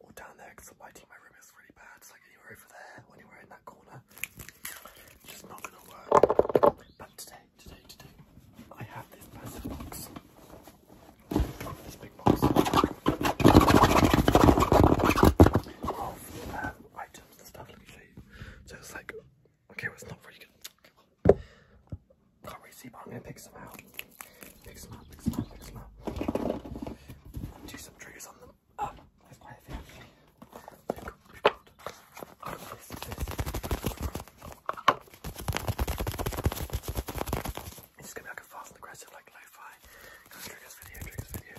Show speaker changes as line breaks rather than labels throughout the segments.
or down there because the lighting in my room is really bad. It's like anywhere over there, or anywhere in that corner, just not gonna work. But today, today, today, I have this massive box. This big box of um, items and stuff. So it's like, okay, it's not really good. Can't really see, but I'm gonna pick some out. Big slap, big slap, big slap. Do some triggers on them. Ah, oh, that's quite a thing. Look, look. Oh, this, this. It's just gonna be like a fast and aggressive, like lo-fi kind of triggers video, triggers video.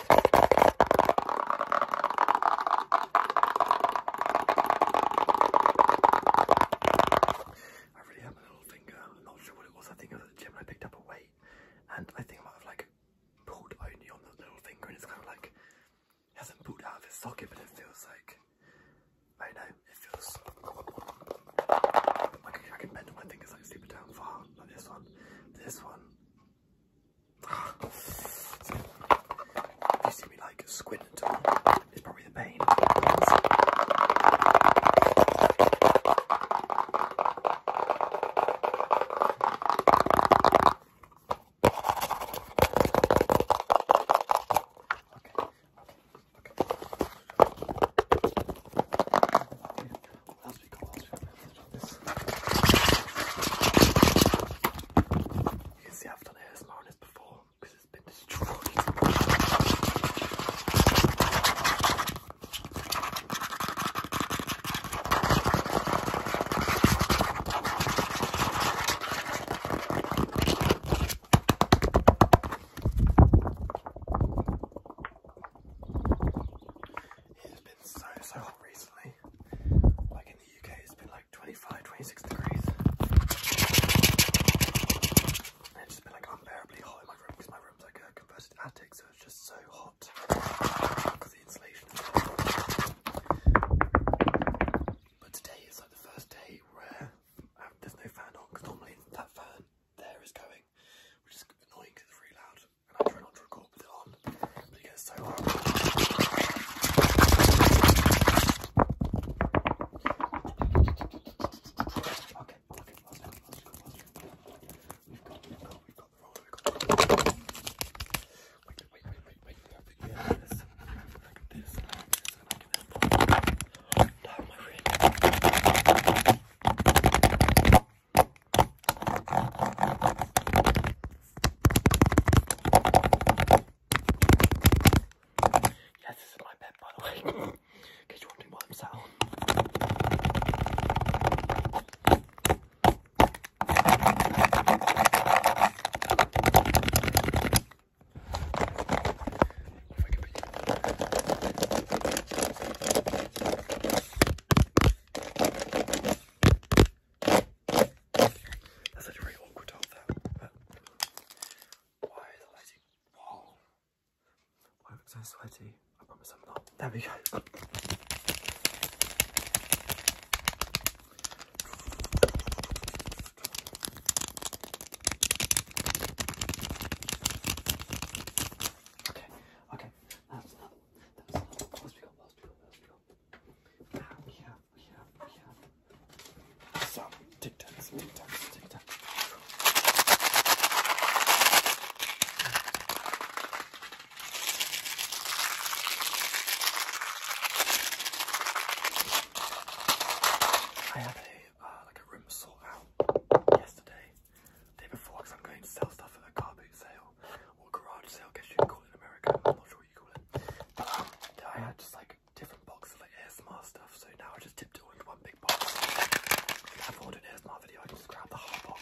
I really hurt my little finger. I'm not sure what it was. I think I was at the gym and I picked up a weight, and I think I might have like pulled only on the little finger, and it's kind of like hasn't pulled out of its socket, but it feels like I know. It
feels I can bend my fingers like super down far, like this one.
this one, they see me like squid at all. It's probably the pain. Okay. Okay. Okay. What else we got? What else we got? Let's this. You can see I've done ASMR on this before because it's been destroyed. It's been so, so hot recently. Like in the UK, it's been like 25, 26 degrees. And it's just been like unbearably hot in my room because my room's like a converted attic, so it's just so hot because the insulation But today is like the first day where um, there's no fan on because normally that fan there is going, which is annoying because it's really loud and I try not to record with it on, but it gets so hard. Okay, okay, last one, last one, last one. We've got, we've got, we've got the roller, we've got the roller. Wait, wait, wait, wait, wait, I think we have this, I can do this, I can do this, and I can do this. Down my ring. Yes, this is my bed, by the way. In case you're wondering why I'm sat on. That's actually very awkward to hold why is the lighting? Whoa! Why am so sweaty? I promise I'm not. There we go. Okay, okay, that's another, that's we got, we got, we got. Now we have, we have, we have I had a uh, like a room sort out yesterday, day before, because I'm going to sell stuff at a car boot sale garage sale, I guess you call it in America, I'm not sure what you call it. But um, I had just like different boxes of like ASMR stuff, so now I just tiptoed into one big box. I have ordered an ASMR video, I just grab the whole box.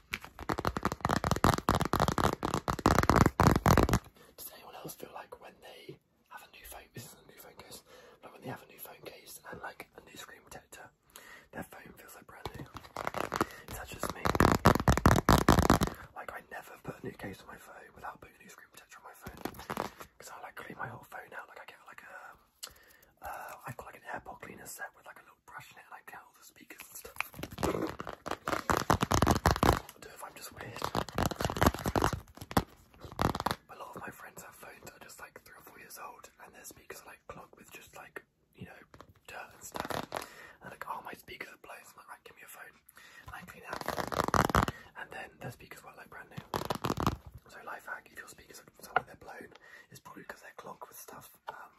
Does anyone else feel like when they have a new phone, this is a new phone case, but when they have a new phone case and like a new screen protector, their phone feels like brand new? Is that just me? Like I never put a new case on my phone without putting a new screen protector on my phone. Because I like clean my whole phone out, like I get like a, uh, I got like an air pod cleaner set with like a little brush in it and I speakers A lot of my friends have phones that are just like three or four years old and their speakers are like clogged with just like, you know, dirt and stuff. And they're like, oh, my speakers are blown. So I'm like, give me a phone. And I clean out. And then their speakers were like brand new. So life hack, if your speakers sound like they're blown, it's probably because they're clogged with stuff. Um,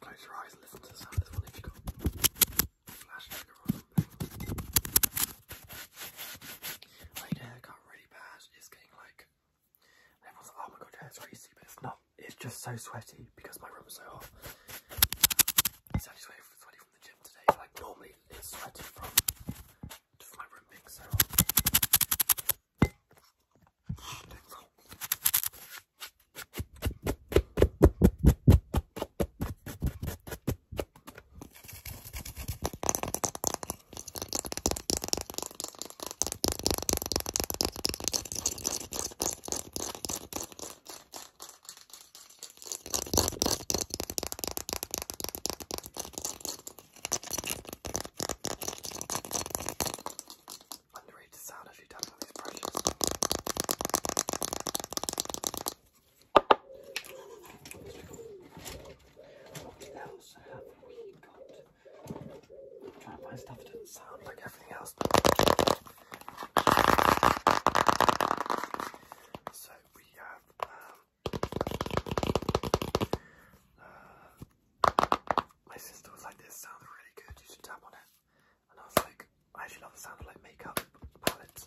close your eyes and listen to the sound of this one if you got really bad. It's getting like everyone's like, oh my god, your hair's greasy, but it's not. It's just so sweaty because my room is so hot. it's actually sweaty from the gym today. Like normally sweaty from of my room being so Underrated sound as you tap on these brushes. What else have we got? I'm trying to find stuff that doesn't sound like everything else. So we have um, uh, my sister was like, this sounds really good, you should tap on it. And I was like, I actually love the sound of like makeup palettes.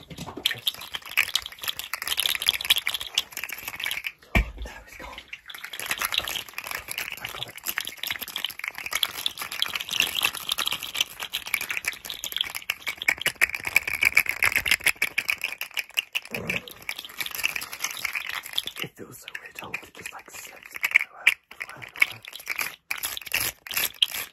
There it's gone. I got it. It feels so weird. Oh, I want to just like slip everywhere, everywhere, everywhere.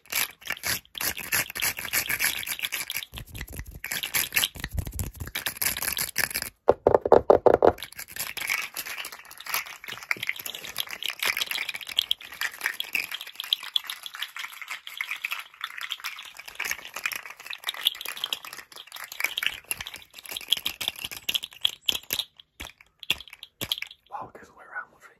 Wow, it goes all the way around, lovely.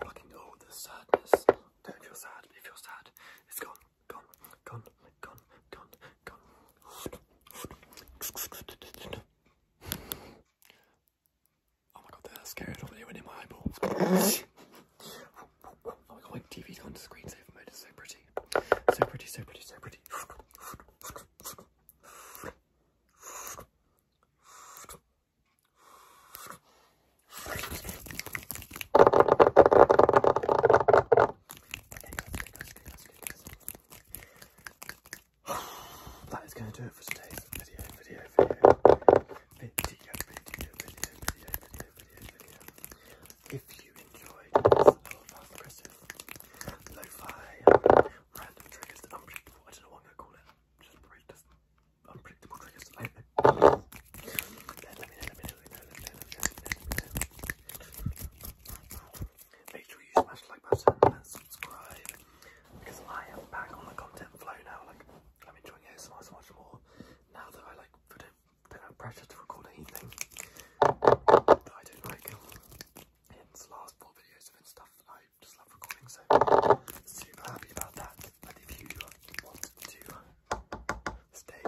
Blocking all oh, the sadness. Don't feel sad. If you're sad, it's gone, gone, gone, gone, gone, Oh my god, that scared already went in my eyeballs. oh my god, my TV's on the screensaver mode, it's so pretty. So pretty, so pretty, so pretty. Okay, guys, okay, guys, okay, guys, okay, guys that is going to do it for today's video, video, video, video, video, video, video, video, video, video. If you enjoyed this little fast aggressive, lo-fi, random triggers, unpredictable, I don't know what I'm going to call it, just unpredictable triggers, I don't know. Let me know, let me know, let me know, let me know, let me know, let me know. Make sure you smash the like button and subscribe because I am back on the content flow now. Like I'm enjoying it so much, much more now that I like don't, have pressure to record anything I don't like. the last four videos have been stuff I just love recording, so super happy about that. And if you want to stay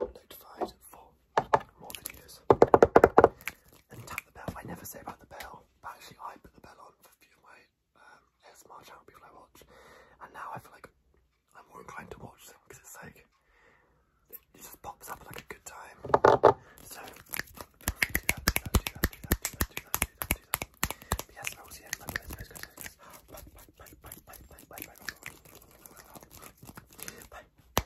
notified for more videos. And tap the bell. I never say about the bell, but actually I put the bell on for a few of my um, ASMR channel people I watch. And now I feel like I'm more inclined to watch them because it's like, it just pops up at like a good time. So,